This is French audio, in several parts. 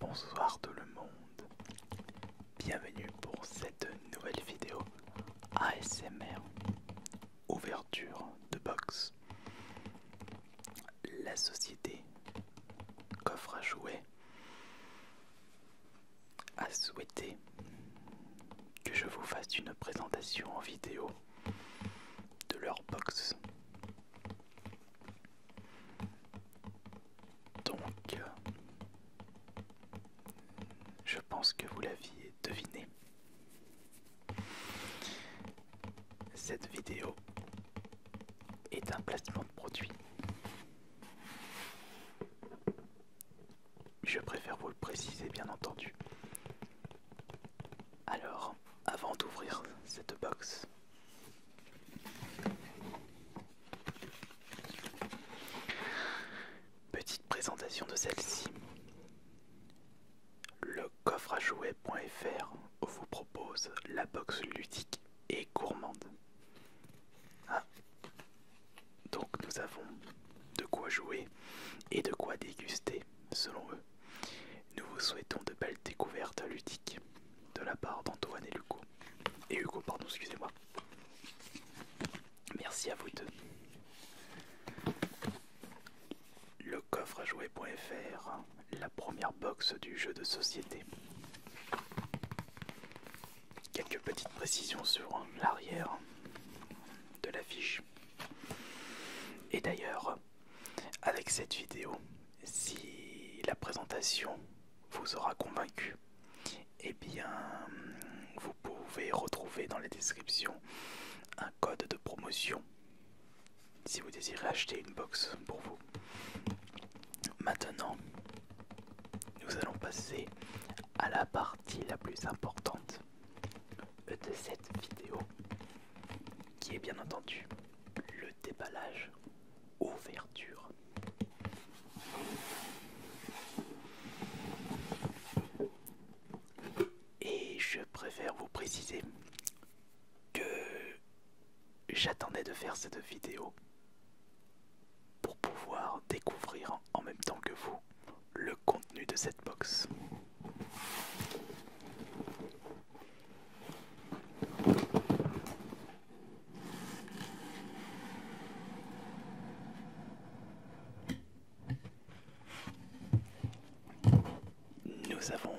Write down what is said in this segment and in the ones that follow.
Bonsoir tout le monde, bienvenue pour cette nouvelle vidéo ASMR ouverture de box la société coffre à jouets a souhaité que je vous fasse une présentation en vidéo de leur box. Donc, je pense que vous l'aviez deviné. Cette vidéo est un placement de produit. Je préfère vous le préciser bien entendu. Alors, avant d'ouvrir cette box, petite présentation de celle-ci coffre-à-jouer.fr vous propose la box ludique et gourmande. Ah. Donc nous avons de quoi jouer et de quoi déguster selon eux. Nous vous souhaitons de belles découvertes ludiques de la part d'Antoine et Hugo. Et Hugo, pardon, excusez-moi. Merci à vous deux coffre à jouer.fr, hein, la première box du jeu de société. Quelques petites précisions sur hein, l'arrière de l'affiche. Et d'ailleurs, avec cette vidéo, si la présentation vous aura convaincu, eh bien, vous pouvez retrouver dans la description un code de promotion si vous désirez acheter une box pour vous. Maintenant, nous allons passer à la partie la plus importante de cette vidéo, qui est bien entendu le déballage ouverture. Et je préfère vous préciser que j'attendais de faire cette vidéo pour pouvoir découvrir en même temps que vous le contenu de cette box. Nous avons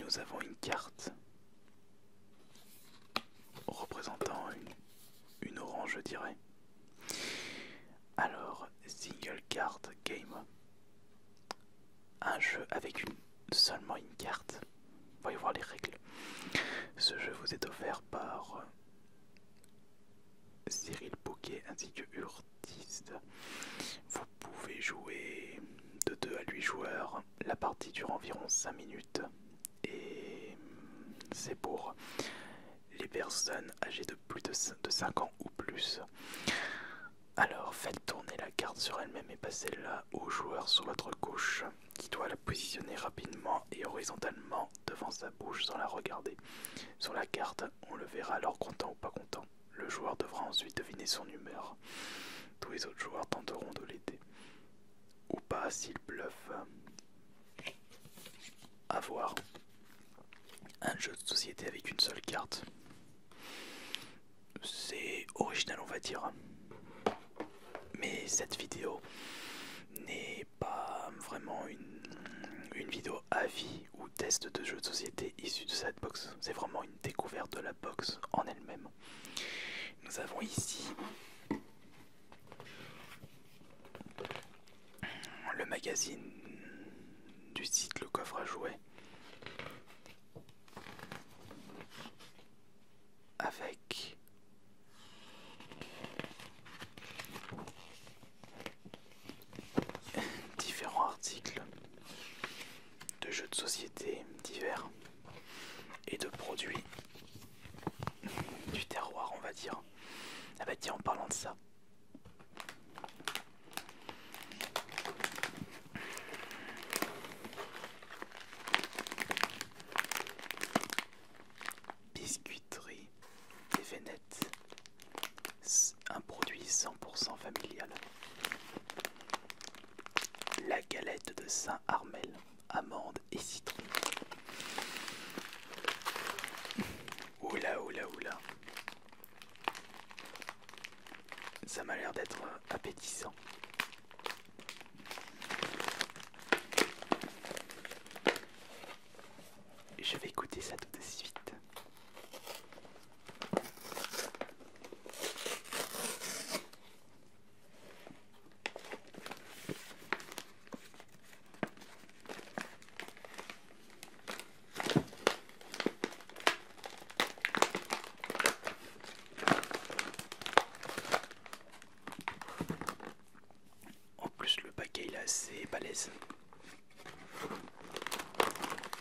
nous avons une carte représentant une, orange, je dirais. Alors, single card game. Un jeu avec une, seulement une carte. Voyez voir les règles. Ce jeu vous est offert par euh, Cyril Bouquet ainsi que Hurt. Vous pouvez jouer de 2 à 8 joueurs. La partie dure environ 5 minutes. Et c'est pour les personnes âgées de plus de 5 ans ou plus. Alors faites tourner la carte sur elle-même et passez-la au joueur sur votre gauche qui doit la positionner rapidement et horizontalement devant sa bouche sans la regarder. Sur la carte, on le verra alors content ou pas content. Le joueur devra ensuite deviner son humeur. Tous les autres joueurs tenteront de l'aider. Ou pas s'ils bluffe. avoir Un jeu de société avec une seule carte. C'est original on va dire. Mais cette vidéo n'est pas vraiment une, vidéo à ou test de jeu de société issu de cette box. C'est vraiment une découverte de la box en elle-même. Nous avons ici le magazine du site Le Coffre à Jouer avec différents articles de jeux de société divers et de produits du terroir, on va dire. Ah bah tiens, en parlant de ça, Biscuiterie, TVNet, un produit 100% familial. La galette de Saint-Armel, amandes et citron. Oula, oula, oula. Ça m'a l'air d'être euh, appétissant. Je vais goûter ça tout de suite. En plus le paquet est assez balèze.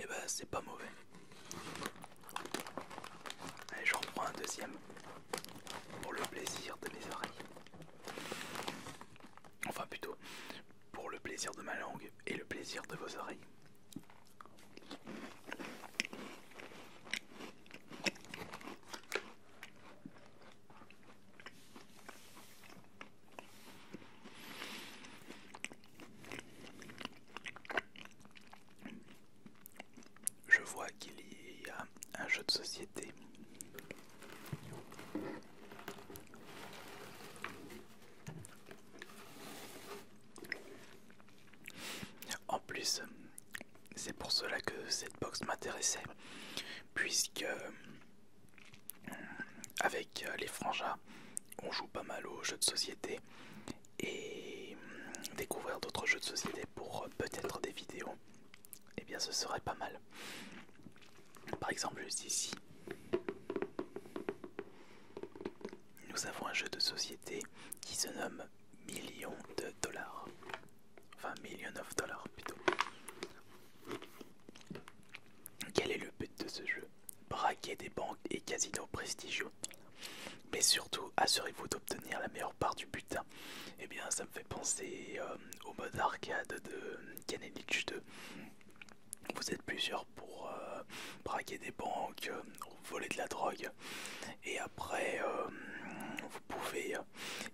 Et eh bah ben, c'est pas mauvais. Allez j'en prends un deuxième pour le plaisir de mes oreilles. Enfin plutôt pour le plaisir de ma langue et le plaisir de vos oreilles. Je vois qu'il y a un jeu de société. En plus, c'est pour cela que cette box m'intéressait, puisque euh, avec euh, les frangins, on joue pas mal aux jeux de société et euh, découvrir d'autres jeux de société pour peut-être des vidéos, et eh bien ce serait pas mal. Par exemple, juste ici, nous avons un jeu de société qui se nomme millions de dollars. Enfin, millions of dollars plutôt. Quel est le but de ce jeu Braquer des banques et casinos prestigieux. Mais surtout, assurez-vous d'obtenir la meilleure part du but et eh bien, ça me fait penser euh, au mode arcade de Canelich 2. Vous êtes plusieurs pour euh, braquer des banques, ou euh, voler de la drogue et après euh, vous pouvez euh,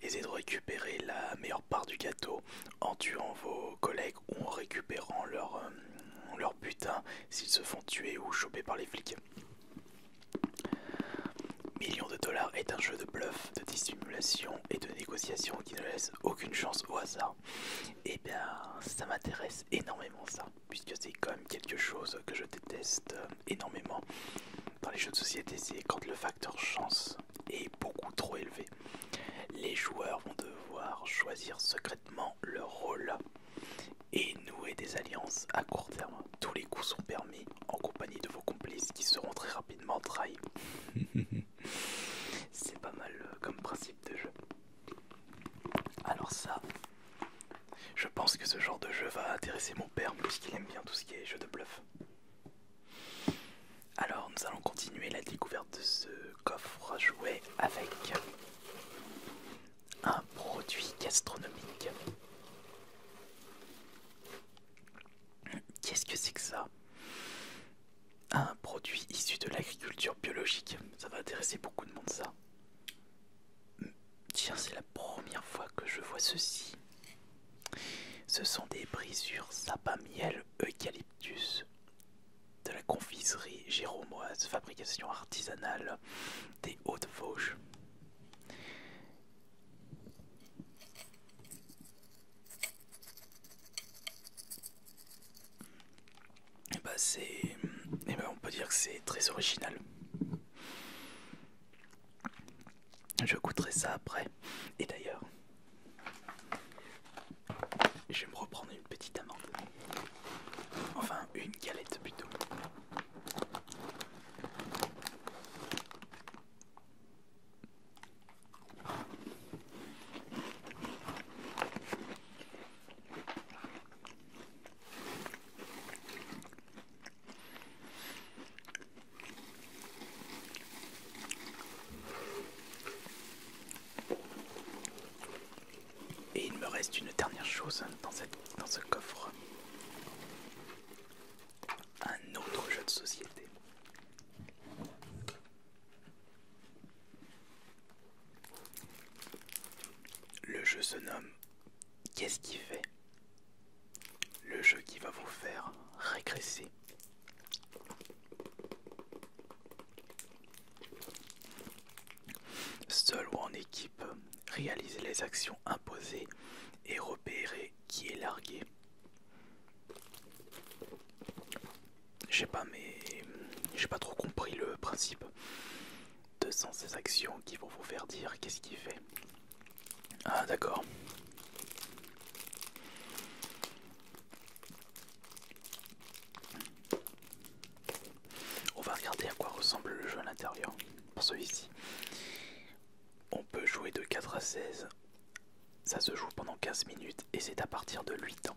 essayer de récupérer la meilleure part du gâteau en tuant vos collègues ou en récupérant leur, euh, leur butin s'ils se font tuer ou choper par les flics. Millions de dollars est un jeu de bluff, de dissimulation et de négociation qui ne laisse aucune chance au hasard. Et eh bien, ça m'intéresse énormément ça puisque c'est quand même quelque chose que je déteste euh, énormément dans les jeux de société, c'est quand le facteur chance est beaucoup trop élevé. Les joueurs vont devoir choisir secrètement leur rôle et nouer des alliances à court terme. Tous les coups sont permis en compagnie de vos complices qui seront très rapidement trahis. c'est pas mal euh, comme principe de jeu. Alors ça, je pense que ce genre de jeu va intéresser mon père puisqu'il aime bien tout ce qui est jeu de bluff. Alors nous allons continuer la découverte de ce coffre à jouer avec un produit gastronomique. Qu'est-ce que c'est que ça Un produit issu de l'agriculture biologique. Ça va intéresser beaucoup de monde ça. Tiens, c'est la première fois que je vois ceci. Ce sont des brisures sapin miel eucalyptus de la confiserie géromoise, fabrication artisanale des Hautes-Vosges. Et eh bah ben, c'est, et eh ben, on peut dire que c'est très original. Je goûterai ça après. Et d'ailleurs, je vais me reprendre une petite amende. Enfin, une galette plutôt. Et il me reste une dernière chose dans, dans ce coffre. Un autre jeu de société. Le jeu se nomme Qu'est-ce qui fait le jeu qui va vous faire régresser Seul ou en équipe, réalisez les actions imposées et repérer qui est largué. J'ai pas mais j'ai pas trop compris le principe ces actions qui vont vous faire dire qu'est-ce qu'il fait. Ah d'accord. On va regarder à quoi ressemble le jeu à l'intérieur. Pour celui-ci, on peut jouer de 4 à 16. Ça se joue pendant 15 minutes et c'est à partir de 8 ans.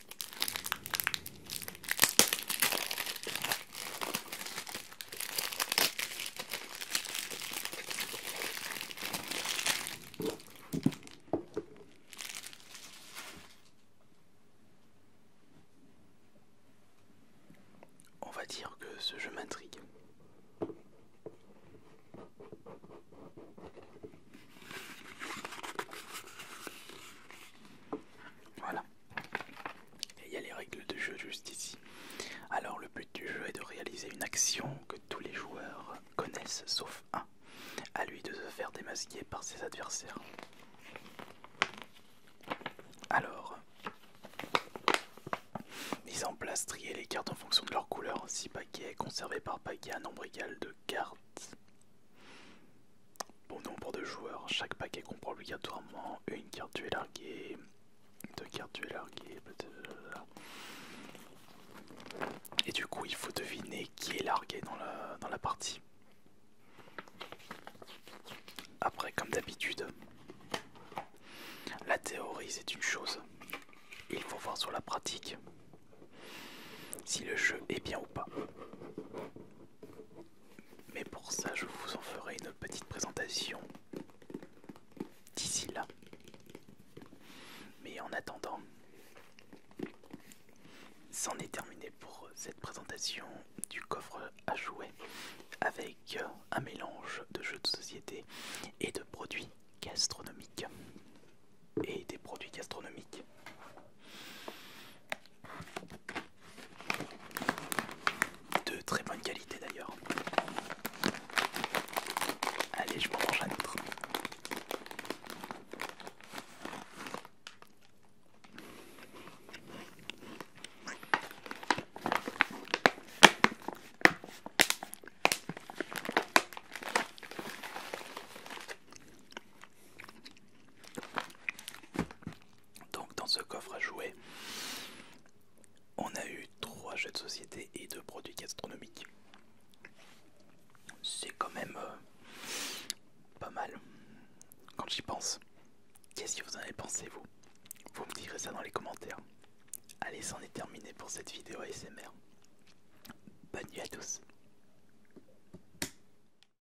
On va dire que ce jeu m'intrigue. Voilà. Et il y a les règles de jeu juste ici. Alors le but du jeu est de réaliser une action que tous les joueurs connaissent sauf un. À lui de se faire démasquer par ses adversaires. Alors, mise en place, trier les cartes en fonction de leur couleur. Si paquet est conservé par paquet un nombre égal de cartes Bon nombre de joueurs, chaque paquet comprend obligatoirement une carte tu es larguée, deux cartes tu es et du coup il faut deviner qui est largué dans la partie. Après comme d'habitude, la théorie c'est une chose, il faut voir sur la pratique si le jeu est bien ou pas. Mais pour ça, je vous en ferai une petite présentation d'ici là. Mais en attendant, c'en est terminé pour cette présentation du coffre à jouets avec euh, un mélange de jeux de société et de produits gastronomiques. Et des produits gastronomiques de très bonne qualité d'ailleurs. Allez, je m'en range un autre. Donc dans ce coffre à jouer, on a eu trois jeux de société et deux produits gastronomiques. C'est quand même euh, pas mal quand j'y pense. Qu'est-ce que vous en avez pensé vous Vous me direz ça dans les commentaires. Allez, c'en est terminé pour cette vidéo ASMR. Bonne nuit à tous.